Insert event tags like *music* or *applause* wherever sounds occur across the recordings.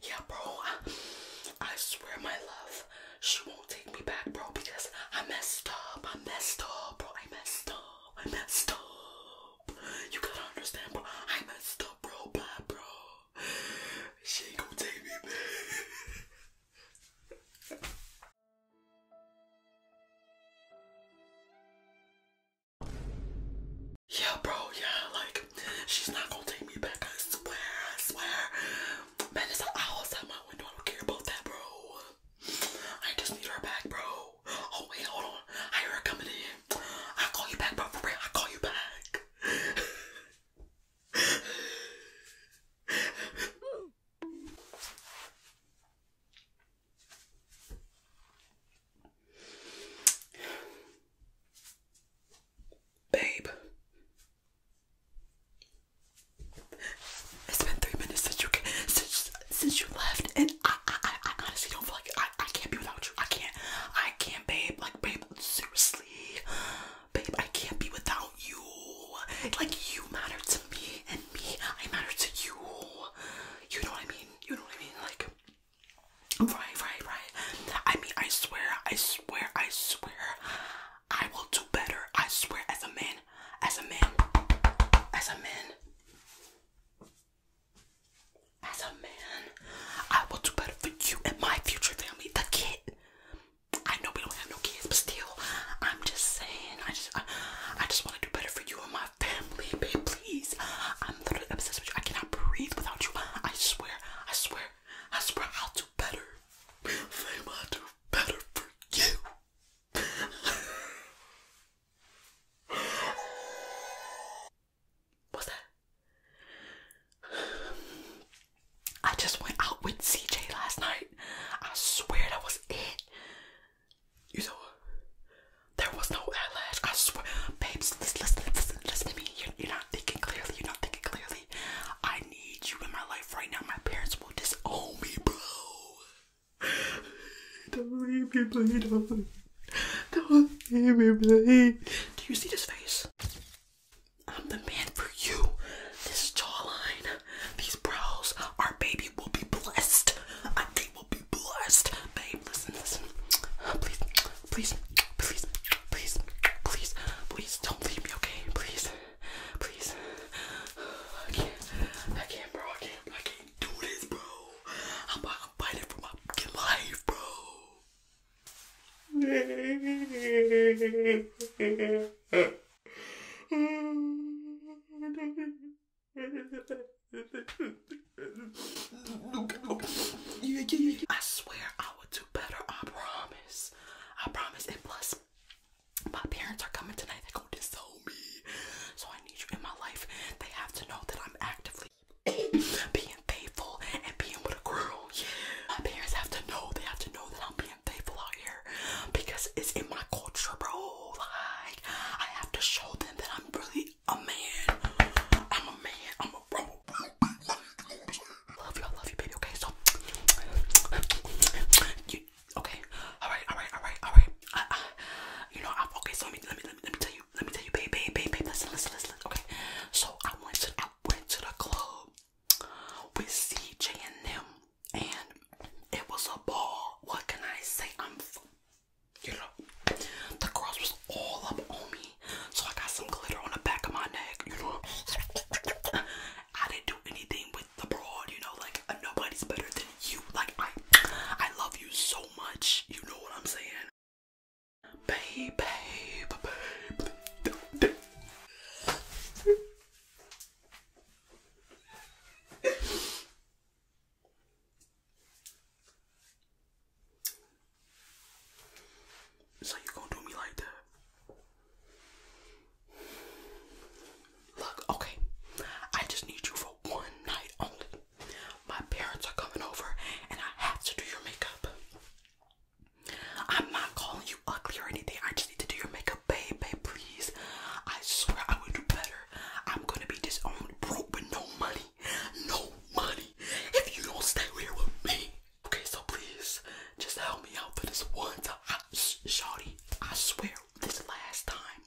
Yeah bro I swear my love she won't take me back bro because I messed up I messed up bro I messed up I messed up dope. You gotta understand, bro. I messed up, bro. Blah, bro. She ain't gonna take me back. *laughs* yeah, bro. Yeah, like she's not gonna take me back. I swear. I swear. Man, it's an owl outside my window. I don't care about that, bro. I just need her back, bro oh, wait, hold on. I hear her coming in. I'll call you back, but For real, I'll call you back. Babe, it's been three minutes since you since since you left, and I, I, honestly don't feel like I, I can't be without you. I can't. I can't, babe. Like, babe, seriously, babe, I can't be without you. Like, you matter to me, and me, I matter to you. You know what I mean? You know what I mean? Like, right, right, right. I mean, I swear, I swear, I swear, I will do better. I swear, as a man, as a man, as a man. As a man, I will do better for you and my future family, the kid. I know we don't have no kids, but still, I'm just saying, I just, I, just want to do better for you and my family, babe. Please, I'm literally obsessed with you. I cannot breathe without you. I swear, I swear, I swear, I'll do better. I'll do better for you. *laughs* Was it? I just went out with CJ last night. I swear that was it. You know, there was no eyelash. I swear, babes. Listen, listen, listen, to me. you're not thinking clearly. You're not thinking clearly. I need you in my life right now. My parents will disown me, bro. *laughs* Don't leave me, please. Don't, don't leave me, please. Do you see this face? I'm the man for you. This jawline, these brows, our baby will be blessed. I think will be blessed. Babe, listen, listen. Please, please, please, please, please, please don't leave me, okay? Please, please. *sighs* I can't, I can't, bro. I can't, I can't i swear I would do better. I promise. I promise. And plus, my parents are coming tonight. they going to so know me. So I need you in my life. They have to know that I'm actively being faithful and being with a girl. Yeah. My parents have to know. They have to know that I'm being faithful out here because it's in my culture, bro. Like I have to show them that I'm really a man. I'm a man. I'm a bro. Love you. I love you, baby. Okay, so you. Okay. All right. All right. All right. All right. I, I, you know. I, okay. So let me let me let me, let me tell you let me tell you, baby, baby, babe, listen, listen, listen, listen. Okay, so I went to, I went to the club with CJ and them, and it was a ball. What can I say? I'm, you know, the girls was all up on me, so I got some glitter on the back of my neck. You know, *laughs* I didn't do anything with the broad. You know, like nobody's better than you like I I love you so much. You know what I'm saying? Babe, babe, babe. So you gonna do me like that? Look, okay. I just need you for one night only. My parents are coming over and I have to do your makeup. I'm not calling you ugly or anything. I just need to do your makeup, baby. please. I swear I would do better. I'm gonna be disowned, broke with no money. No money. If you don't stay here with me. Okay, so please just help me out for this one time. I, sh shawty, I swear this last time.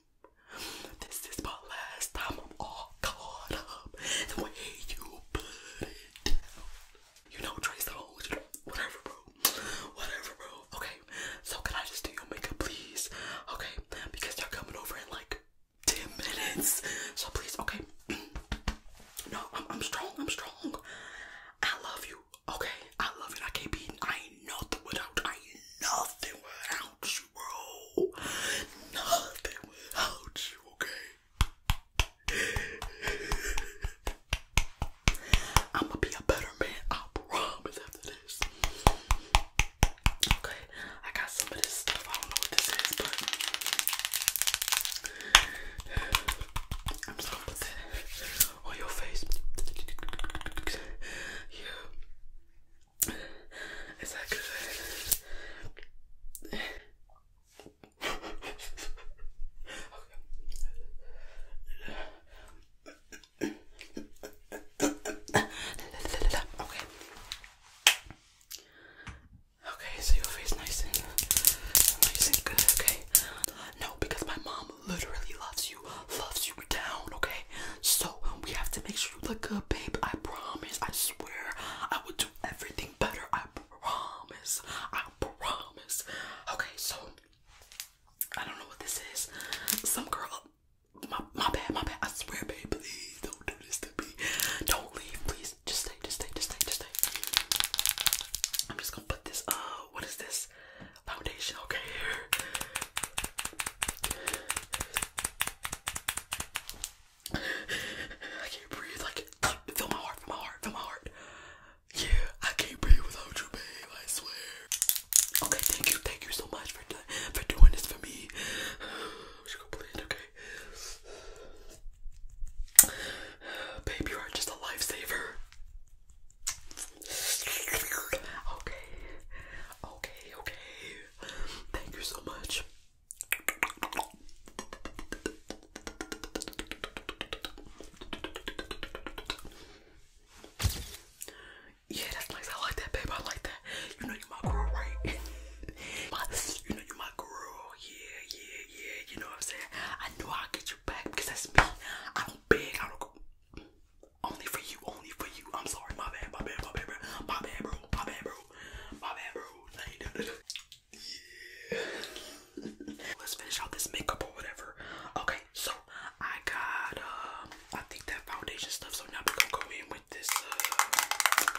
This is my last time. I'm all caught up. The way you put it down. You know, trace the holes. whatever, bro. Whatever, bro. Okay. So can I just do your makeup, please? Okay. Because they're coming over in like ten minutes. So please, okay. *clears throat* no, I'm, I'm strong. I'm strong. I love you. Okay. I love you. I can't be. I ain't nothing without. I ain't nothing without you you, bro. Nothing without okay? I'ma be a better man, I promise after this. Okay, I got some of this stuff. I don't know what this is, but I'm just gonna put that on your face. Yeah. Is that good? okay. okay. Okay, so your face nice and nice and good, okay? No, because my mom literally loves you, loves you down, okay? So we have to make sure you look good, babe. I promise. I swear. I will do everything better. I promise. I promise. Okay, so I don't know what this is. Some girl. My, my bad, my bad. I swear, babe. Please don't do this to me. Don't leave, please. Just stay, just stay, just stay, just stay. I'm just gonna put this. Uh, what is this? Foundation. Okay, here. I can't breathe. Like, feel my heart, feel my heart, feel my heart. Yeah, I can't breathe without you, babe. I swear. Okay, thank you, thank you so much for for doing this for me. We *sighs* should go blend, okay? *sighs* Babe, you are just a lifesaver. Okay, okay, okay. Thank you so much. Yeah, that's nice. I like that, babe. I like that. You know you my girl, right? my, *laughs* you know you my girl. Yeah, yeah, yeah. You know what I'm saying? I know I'll get you back because that's me. I don't beg. Only for you, only for you. I'm sorry, my bad, my bad, my bad, bro. My bad, bro. My bad, bro. My bad, bro. *laughs* Let's finish out this makeup or whatever. Okay, so I got um I think that foundation stuff, so now we're gonna go in with this uh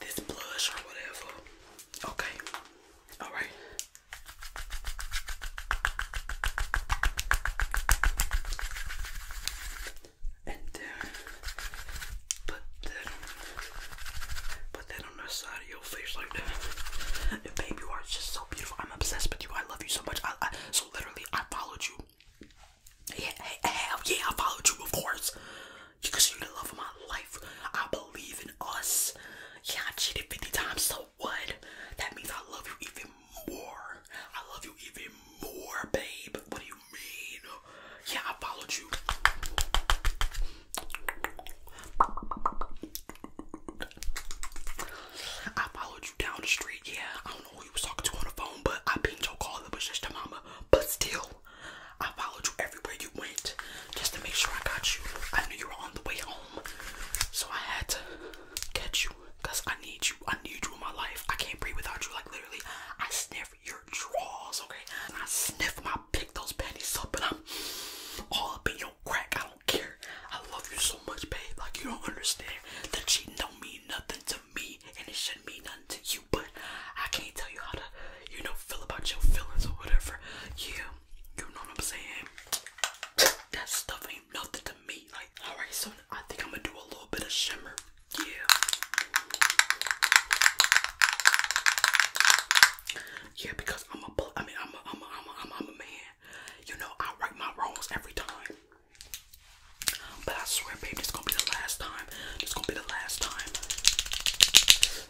this blush or whatever. Okay. Alright and then uh, put that on, put on the side of your face like babe, you are just so beautiful. I'm obsessed with you. I love you so much. I, I so literally I followed you. Yeah, yeah, I followed you, of course. Because you're the love of my life. I believe in us. Yeah, I cheated 50 times, so what? That means I love you even more. I love you even more, babe. What do you mean? Yeah, I followed you. I followed you down the street. Yeah, I don't know who you was talking to on the phone, but I pinged your call. It was just your mama. But still, I followed you everywhere you went just to make sure I got you. I knew you were on the way home, so I had to. Catch you, cause I need you. I need you in my life. I can't breathe without you. Like literally, I sniff your drawers, okay? I sniff my pick those panties up, and I'm all up in your crack. I don't care. I love you so much, babe. Like you don't understand that cheating don't mean nothing to me, and it shouldn't mean nothing to you. But I can't tell you how to, you know, feel about your feelings or whatever. Yeah, you know what I'm saying. That stuff ain't nothing to me alright, so I think I'm gonna do a little bit of shimmer. Yeah. Yeah, because I'm a, I mean, I'm a, I'm a, I'm a, I'm a man. You know, I write my wrongs every time. But I swear, baby, it's gonna be the last time. This gonna be the last time.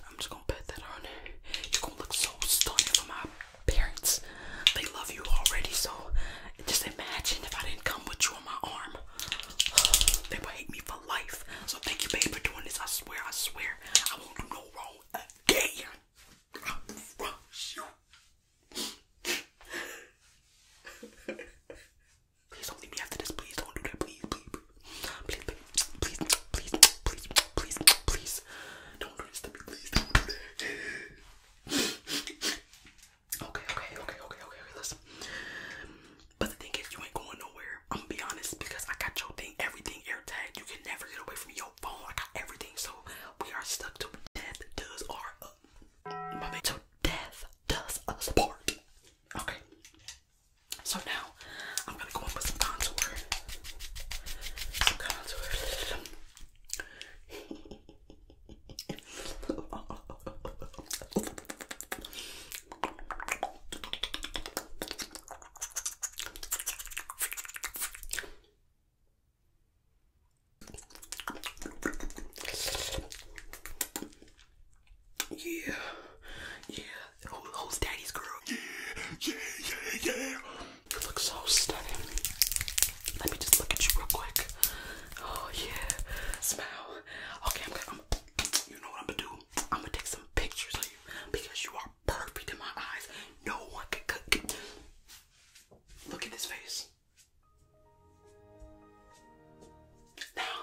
I'm just gonna put that on. You're gonna look so stunning for my parents, they love you already, so just imagine if I didn't come with you on my arm. They would hate me for life. So thank you, babe, for doing this. I swear, I swear, I won't do no wrong again. please don't leave me after this. Please don't do that. please, please, please, please, please, please, please, please. Don't do this to me. Please don't do that. Okay, okay, okay, okay, okay, okay, listen. But the thing is, you ain't going nowhere. I'm gonna be honest because I got your thing, everything AirTag. You can never get away from your phone. I got everything, so we are stuck to death does our uh, my man. So death does us part. Okay. So now I'm gonna go in with some contour. Some contour. Yeah, yeah, who's daddy's girl? Yeah, yeah, yeah, yeah. You look so stunning. Let me just look at you real quick. Oh yeah, smile. Okay, I'm gonna. you know what I'm gonna do? I'm gonna take some pictures of you because you are perfect in my eyes. No one can cook. Look at this face. Now,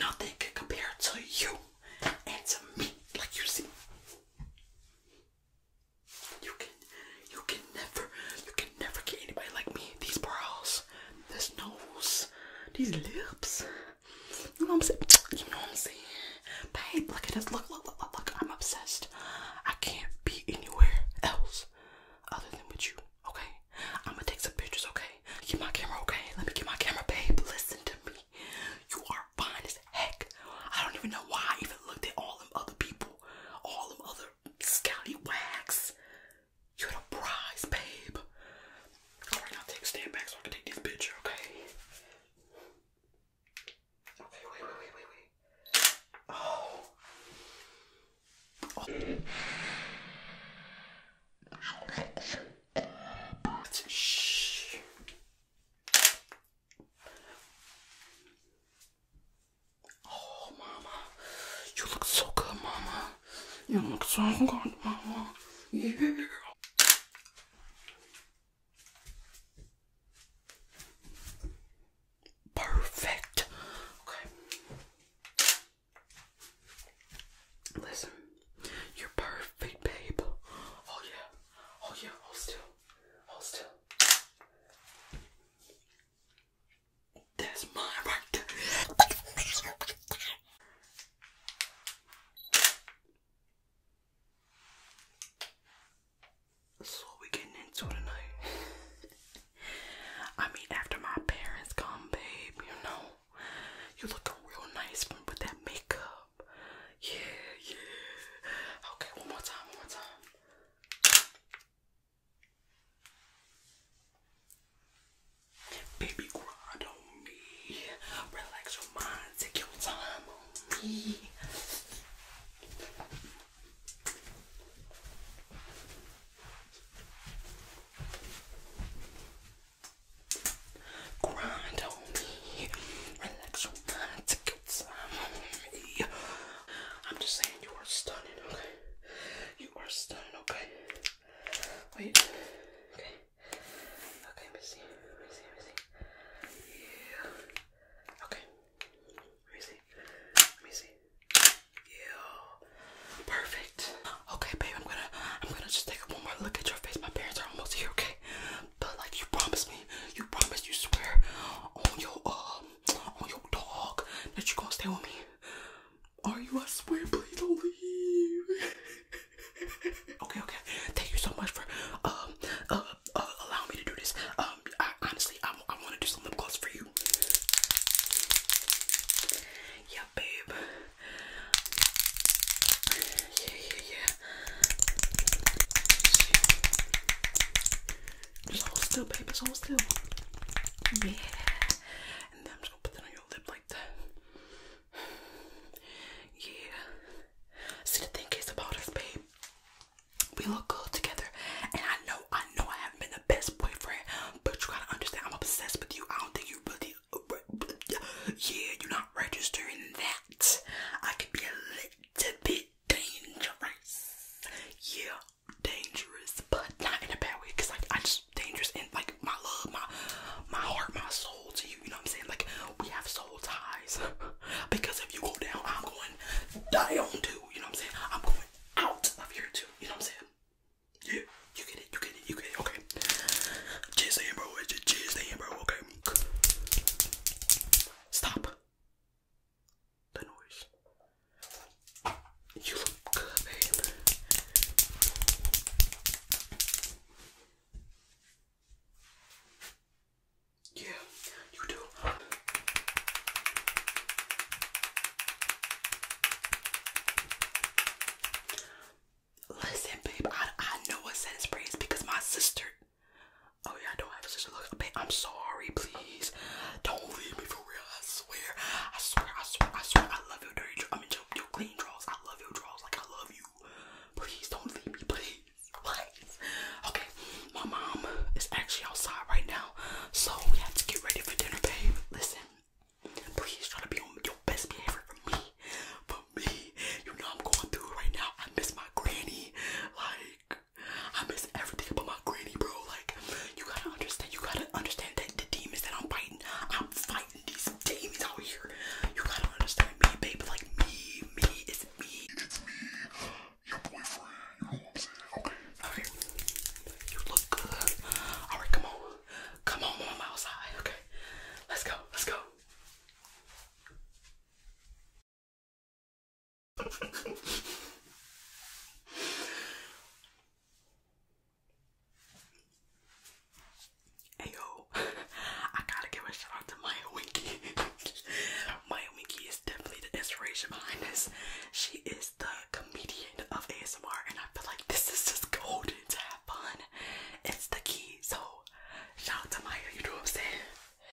nothing can compare to you and to me. Like you see, you can, you can never, you can never get anybody like me. These brows, this nose, these lips. You know I'm saying? You know I'm saying? Babe, look at this. Look, look, look, look, look. I'm obsessed. I can't be anywhere else other than with you. Okay? I'm gonna take some pictures. Okay? Get my camera. Okay? Let me get my camera, babe. Listen to me. You are fine as heck. I don't even know why I even looked at all them other people all them other scallywags. You're the prize, babe. Alright, i take a stand back so I can take this picture, okay? Okay, wait, wait, wait, wait, wait. oh. Shh. Oh, Mama, you look so good, Mama. You look so good, Mama. Yeah. Perfect. Okay. Listen, you're perfect, babe. Oh yeah. Oh yeah. Hold still. Hold still. That's my right So we getting into tonight. *laughs* I mean, after my parents come, babe, you know, you looking real nice with that makeup. Yeah, yeah. Okay, one more time, one more time. Baby, grind on me. Relax your mind, take your time on me. Grind on me, relax your mind, it's, um, yeah. I'm just saying you are stunning, okay? You are stunning, okay? Wait, okay. Okay, let me see, let me see, let me see. Yeah. Okay. Let me see. Let me see. Yeah. Perfect. Okay, babe, I'm gonna I'm gonna just take one more look at your face. My parents are almost here, okay? But like you promised me, you promised you swear on your uh on oh, your dog that you gonna stay with me. Are you? I swear, please don't leave. *laughs* okay, okay. Thank you so much for um uh, uh allowing me to do this. Um, I, honestly, I, I want to do some lip gloss for you. Yeah, babe. Yeah, yeah, yeah. Just hold still, baby. Just hold still. Yeah. And I'm just gonna put that on your lip like that. Yeah. See, the thing is about us, babe. We look good together. And I know, I know I haven't been the best boyfriend, but you gotta understand, I'm obsessed with you. I don't think you really. Yeah, you're not registering that. I could be a little bit dangerous. Yeah, dangerous, but not in a bad way. Cause like I just dangerous and like my love, my my heart, my soul to you. You know what I'm saying? Like we have soul ties. *laughs* because if you go down, I'm going down too. You know what I'm saying? I'm going out of here too. You know what I'm saying? Yeah, you get it, you get it, you get it. Okay, just saying, bro. Just saying, bro. Okay. Stop the noise. You look good, babe. Yeah, you do. Listen, babe, I, I know what scent spray is because my sister Oh yeah, I don't have a sister. Look, I'm sorry, please. Don't leave me for real. I swear, I swear, I swear, I swear. I love your dirty. I am mean, your, your clean draws. I love your draws. Like I love you. Please don't leave me, please. Please. *laughs* Okay, my mom is actually outside right now, so we have to get ready for dinner, babe. Listen, please try to be on your best behavior for me. For me, you know I'm going through right now. I miss my granny. Like I miss everything about my granny, bro. Like, you gotta understand, you gotta understand that the demons that I'm fighting, I'm fighting these demons out here. You gotta understand me, babe. Like, me, me, it's me. It's me, your boyfriend. You look good. Alright, come on. Come on, mom, outside. Okay. Let's go. Let's go. *laughs* hey yo, *laughs* I gotta give a shout out to Maya Winky. *laughs* Maya Winky is definitely the inspiration behind this. She is the comedian of ASMR, and I feel like this is just golden to have fun. It's the key. So, shout out to Maya, you do what